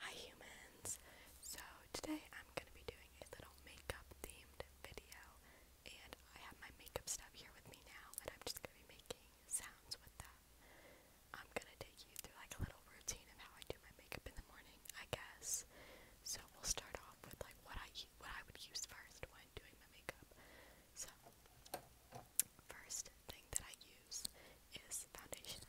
Hi humans! So today I'm going to be doing a little makeup themed video and I have my makeup stuff here with me now and I'm just going to be making sounds with that. I'm going to take you through like a little routine of how I do my makeup in the morning, I guess. So we'll start off with like what I what I would use first when doing my makeup. So first thing that I use is foundation.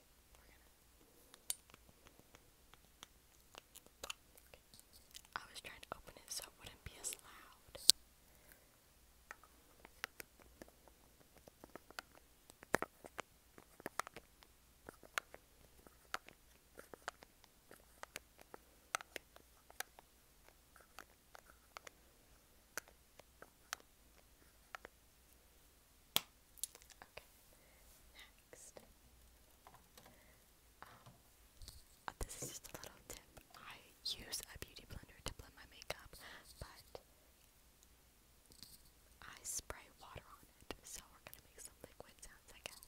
think we're gonna. Okay. I was trying to open it so it wouldn't be as loud. Okay. Okay, next. Um, oh, this is just a little tip. I use a beauty blender to blend my makeup, but I spray water on it, so we're gonna make some liquid sounds, I guess.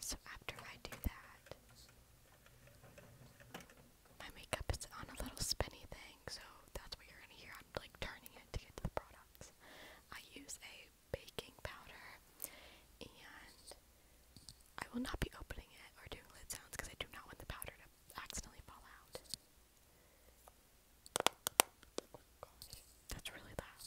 So after I do that, my makeup is on a little spinny thing, so that's what you're gonna hear. I'm like turning it to get to the products. I use a baking powder, and I will not be opening it or doing lid sounds because I do not want the powder to accidentally fall out. Oh, that's really loud.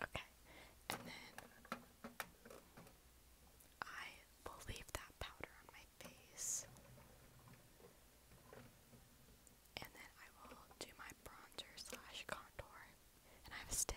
Okay, and then I will leave that powder on my face and then I will do my bronzer slash contour, and I have a stick.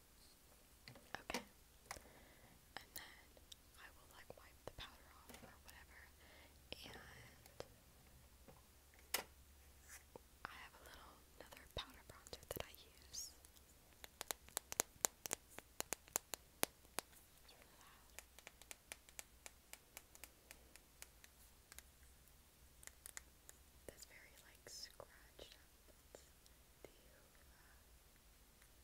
Okay. And then I will like wipe the powder off or whatever. And I have a little another powder bronzer that I use. It's very like scratched up.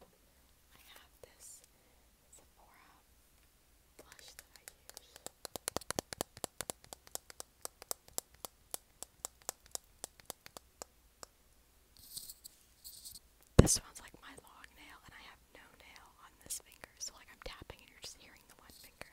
I have this Sephora blush that I use. This one's like my long nail, and I have no nail on this finger, so like I'm tapping and you're just hearing the one finger.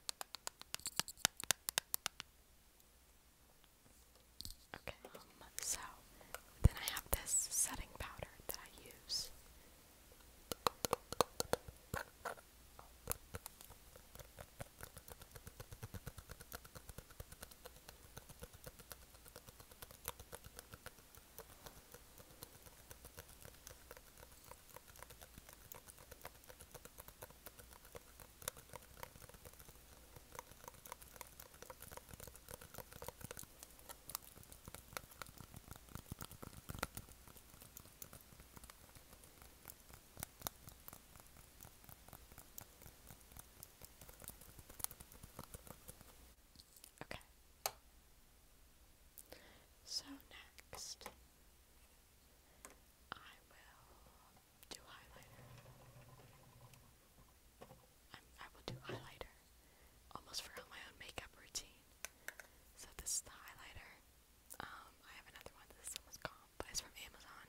Okay, um, so then I have this setting powder that I use. Okay. So next I will do highlighter. i will do highlighter. Almost forgot my own makeup routine. So this is the highlighter. Um, I have another one. This is almost gone, but it's from Amazon.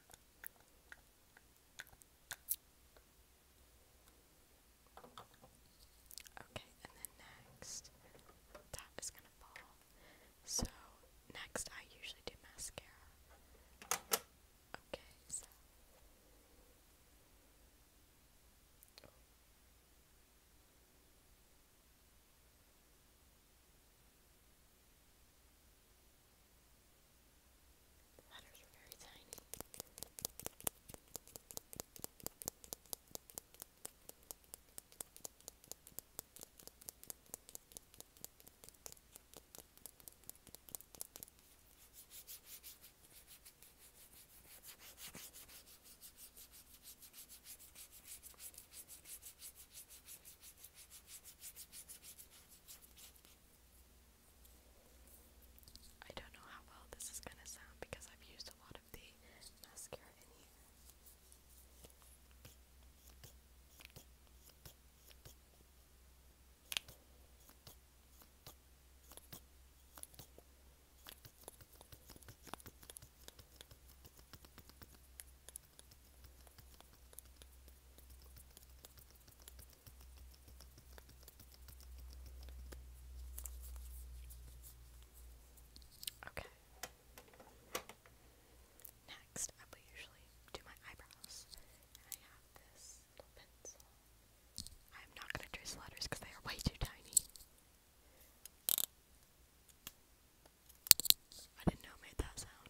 Okay, and then next, that is gonna fall. So, next, I usually do mascara. Okay, so. Oh. The letters are very tiny. All I don't know how well this is gonna sound because I've used a lot of the mascara in here. Okay. Next, I will usually do my eyebrows. And I have this little pencil. I'm not going to trace letters because they are way too tiny. I didn't know made that sound.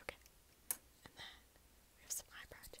Okay. And then we have some eyebrow gel.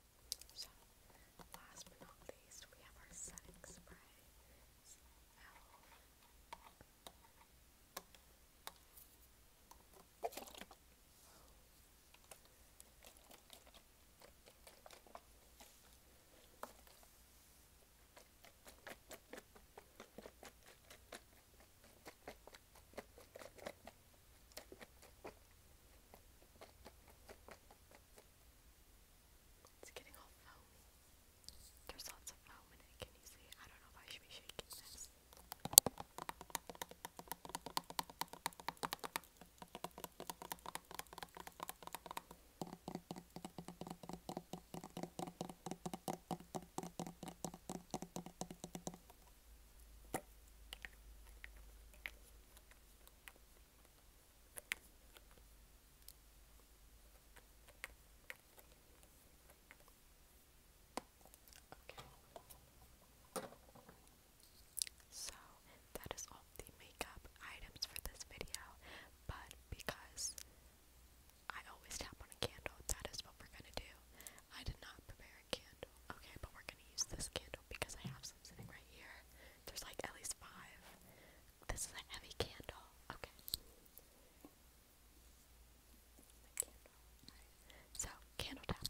So, last but not least, we have our setting spray. Smell. It's getting all foamy. There's lots of foam in it, can you see? I don't know if I should be shaking this. Okay. So that is all the makeup items for this video, but because I always tap on a candle, that is what we're gonna do. I did not prepare a candle, okay, but we're gonna use this candle because I have some sitting right here. There's like at least five. This is a heavy candle. Okay. So, candle tapping.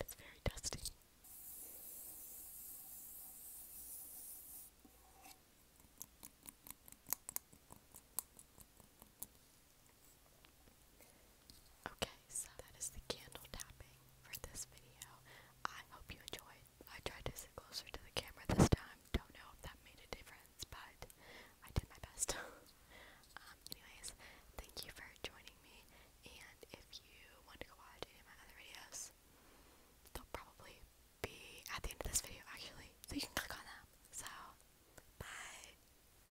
It's very dusty. Okay, so that is the candle tapping for this video. I hope you enjoyed. I tried to sit closer to the camera this time. Don't know if that made a difference, but I did my best. Um, anyways, thank you for joining me, and if you want to go watch any of my other videos, they'll probably be at the end of this video, actually, so you can click on them. So, bye!